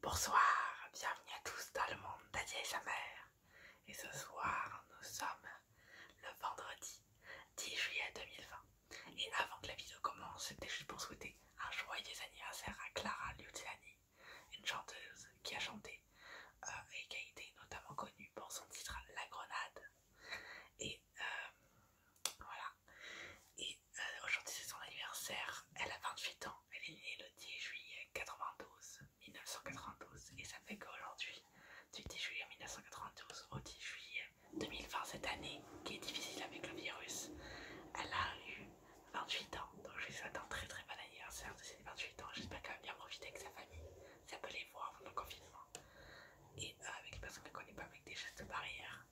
Bonsoir, bienvenue à tous dans le monde Dadia et sa mère. Et ce soir, nous sommes le vendredi 10 juillet 2020. Et avant que la vidéo commence, c'était juste pour souhaiter un joyeux anniversaire à Clara Luciani, une chanteuse qui a chanté euh, et qui a été notamment connue pour son titre La Grenade. Et euh, voilà, et euh, aujourd'hui, c'est son anniversaire. Elle a 28 ans. Elle est née le 10 juillet 92, 1992. Et ça fait qu'aujourd'hui, du 10 juillet 1992 au 10 juillet 2020, cette année qui est difficile avec le virus, elle a eu 28 ans. Donc, je lui souhaite un très très bon anniversaire de ses 28 ans. J'espère qu'elle va bien profiter avec sa famille. Ça peut les voir pendant le confinement. Et euh, avec les personnes qu'elle ne connaît pas, avec des gestes barrières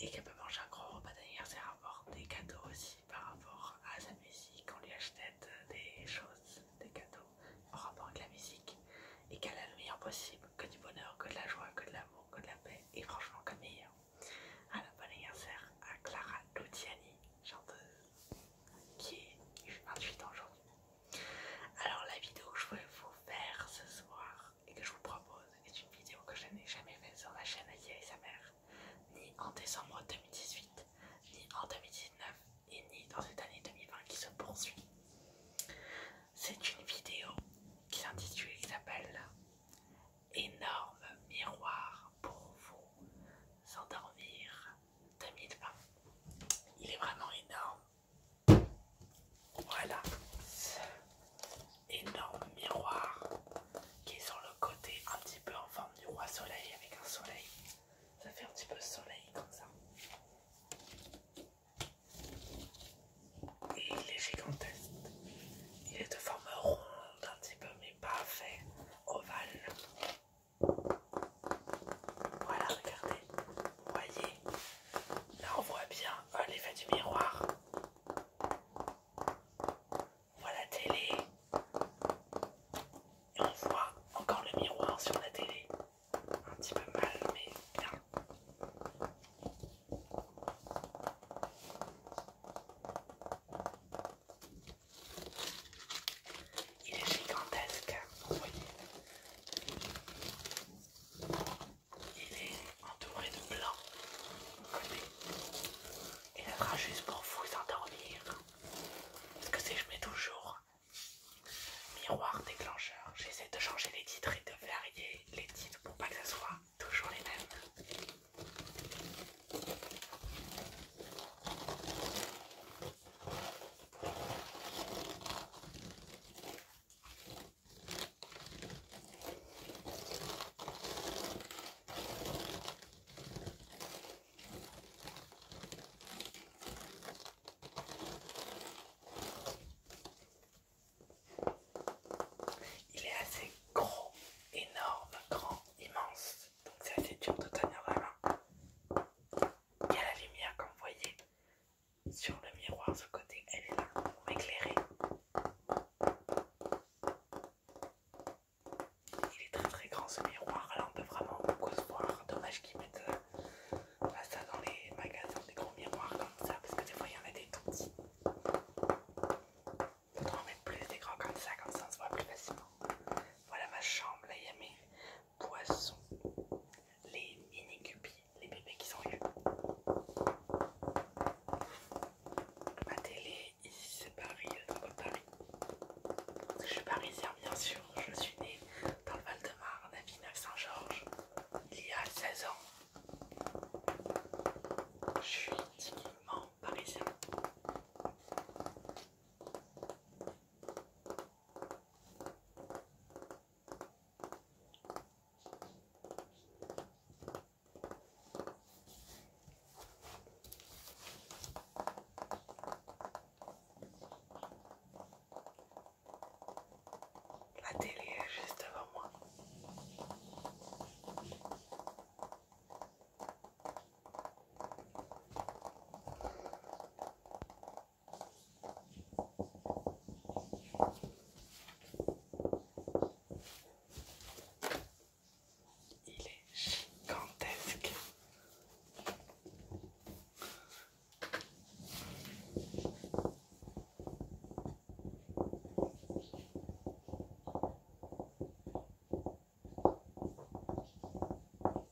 et qu'elle peut manger un gros repas d'anniversaire, avoir des cadeaux aussi par rapport à sa musique, on lui achète des choses, des cadeaux en rapport avec la musique et qu'elle a le meilleur possible, que du bonheur, que de la joie, que de l'amour, que de la paix et franchement que meilleur. Alors bon anniversaire à Clara Luciani, chanteuse, qui est 28 ans aujourd'hui. Alors la vidéo que je voulais vous faire ce soir, et que je vous propose est une vidéo que je n'ai jamais faite sur la chaîne Aïe et sa mère, ni en décembre 2018, ni en 2019 et ni dans cette année 2020 qui se poursuit. C'est une vidéo qui s'intitule, qui s'appelle Énorme miroir pour vous s'endormir 2020. Il est vraiment énorme. Voilà énorme miroir qui est sur le côté un petit peu en forme du roi soleil avec un soleil. Ça fait un petit peu soleil comme ça. Et il est gigantesque. Il est de forme ronde un petit peu mais pas fait ovale. Voilà, regardez. voyez, là on voit bien euh, l'effet du miroir. On voit la télé. Et on voit encore le miroir sur la télé. Un petit peu mal, mais bien. Il est gigantesque, vous voyez il est entouré de blanc et la sera juste pour vous endormir parce que si je mets toujours miroir déclencheur j'essaie de changer les titres et de varier les titres pour pas que ce soit toujours les mêmes il est assez gros, énorme, grand, immense, donc c'est assez dur de tenir la main. Il y a la lumière comme vous voyez, sur le miroir, ce côté, elle est là pour éclairer. Il est très très grand ce miroir, là on peut vraiment beaucoup se voir. Dommage qu'ils mettent euh, ça dans les magasins, des gros miroirs comme ça, parce que des fois il y en a des tout petits. On en plus des grands comme ça, comme ça on se voit plus facilement. Voilà ma chambre, là il y a mes poissons les mini cupis, les bébés qui sont eu. Ma télé, ici c'est Paris, euh, le Paris. je suis parisienne bien sûr, je suis née dans le Val-de-Marne à Villeneuve-Saint-Georges il y a 16 ans. Je suis intimement parisien. La télé juste avant moi. Il est gigantesque.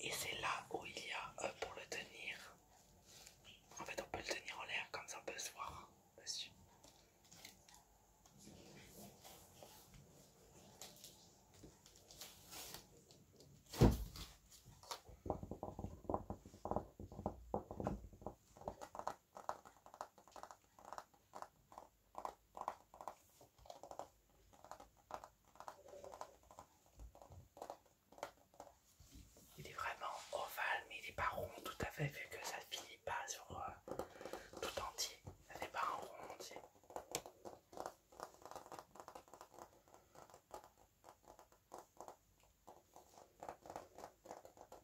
Et c'est là où il y a euh, pour le tenir. En fait, on peut le tenir en l'air comme ça, on peut se voir dessus. Il est vraiment ovale, mais il n'est pas rond tout à fait, vu que ça ne finit pas sur euh, tout entier. pas entier.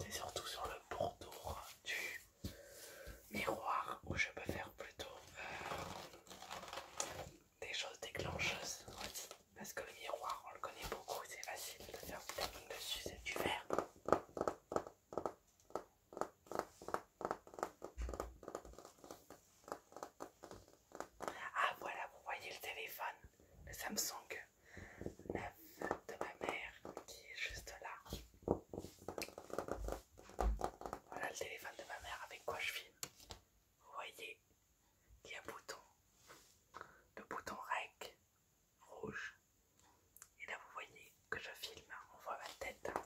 C'est surtout sur le pourtour du miroir où je peux faire plutôt euh, des choses déclencheuses Parce que le miroir, on le connaît beaucoup, c'est facile de faire dessus, c'est du verre. Ah voilà, vous voyez le téléphone, le Samsung 9 de ma mère qui est juste là. Voilà le téléphone de ma mère avec quoi je filme. Vous voyez, il y a un bouton, le bouton REC, rouge. Et là, vous voyez que je filme, hein. on voit ma tête, en hein,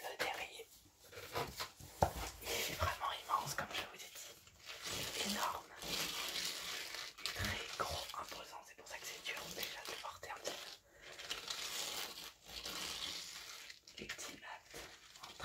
Le derrière, il est vraiment immense comme je vous ai dit énorme, très gros, imposant. C'est pour ça que c'est dur déjà de porter un petit peu. en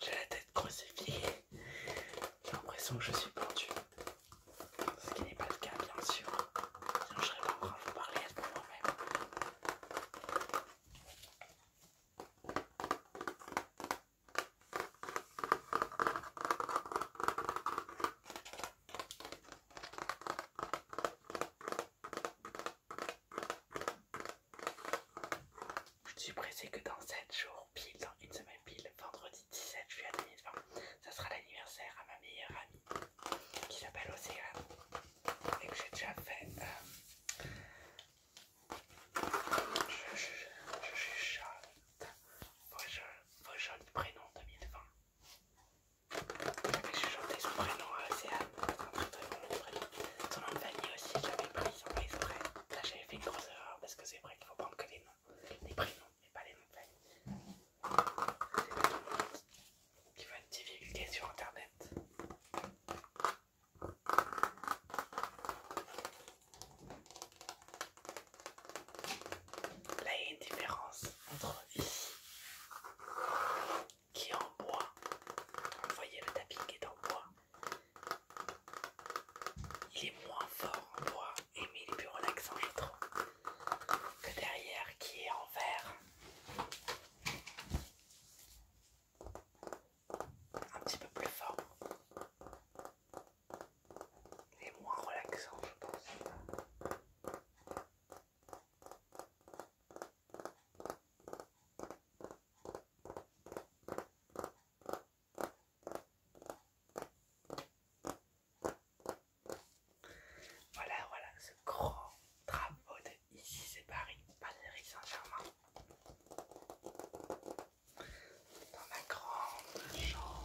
J'ai la tête crucifiée. J'ai l'impression que je suis pendu. Ce qui n'est pas le cas, bien sûr. Sinon, je serais pas en train de vous parler à ce même. Je suis pressée que dans 7 jours, pile, dans une semaine pile, vendredi 17 juillet 2020, ça sera l'anniversaire à ma meilleure amie qui s'appelle Océane et que j'ai déjà fait euh, je, je, Vos je prénoms prénom 2020. J'avais chanté son prénom à Océane, un très très prénom. Son nom de famille aussi, j'avais pris sans pas exprès. Là j'avais fait une grosse erreur parce que c'est vrai qu'il faut prendre que les noms, les prénoms et pas les noms de famille. C'est tout le qui être sur internet. Là, il y a une différence entre ici qui est en bois. Vous voyez, le tapis qui est en bois. Il est moins fort en bois, et mais il est plus relaxant, je trouve, que derrière qui est en verre un petit peu plus fort et moins relaxant, je pense. Voilà, voilà ce grand drapeau ici c'est Paris, Paris Saint-Germain. Dans ma grande chambre.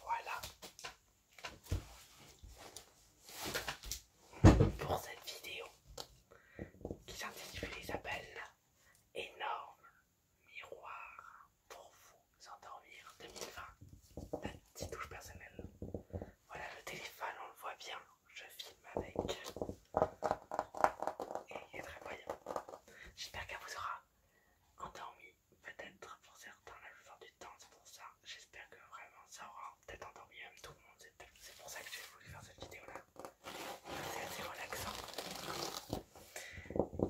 Voilà pour cette vidéo qui s'intitule Isabelle, Énorme miroir pour vous endormir 2020. La petite touche personnelle. Voilà le téléphone, on le voit bien. Je filme avec et il est très voyant. J'espère qu'elle vous aura endormi peut-être pour certains la faire du temps, c'est pour ça. J'espère que vraiment ça aura peut-être endormi même tout le monde. C'est pour ça que j'ai voulu faire cette vidéo là. C'est assez relaxant.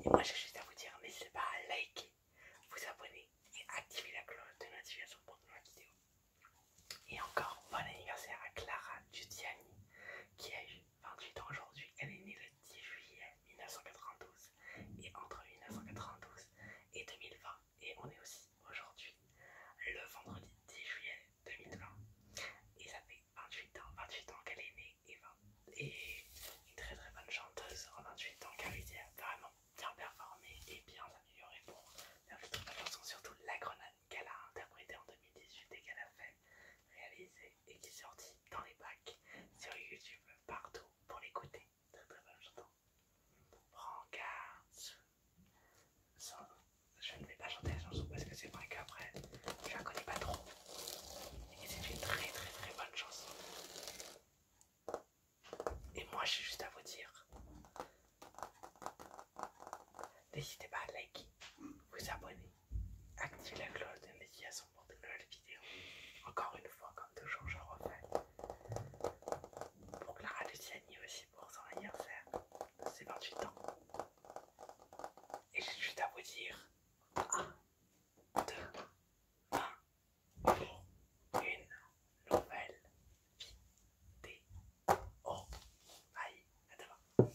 Et moi j'ai juste à vous dire, n'hésitez pas à liker, vous abonner et activer la cloche de notification pour de nouvelles vidéos. Et encore bon anniversaire à Clara Giudiani qui a eu 28 ans aujourd'hui, elle est née le 10 juillet 1992 et entre 1992 et 2020 et on est aussi aujourd'hui le vendredi 10 juillet 2020 et ça fait 28 ans, 28 ans qu'elle est née et, et une très très bonne chanteuse en 28 ans qu'elle a vraiment bien performée et bien améliorée pour la chanson surtout la grenade qu'elle a interprétée en 2018 et qu'elle a fait réaliser et qui est sorti dans les bacs sur YouTube partout pour l'écouter. Très très bonne chanson. Prends garde. Je ne vais pas chanter la chanson parce que c'est vrai qu'après je la connais pas trop. Et c'est une très très très bonne chanson. Et moi j'ai juste à vous dire. N'hésitez pas à liker, vous abonner Active la cloche de médiation pour de nouvelles vidéos. Encore une fois, comme toujours, je refais. Pour Clara Luciani aussi pour son anniversaire. C'est 28 ans. Et j'ai juste à vous dire 1, 2, 1 pour une nouvelle vidéo. Bye, à demain.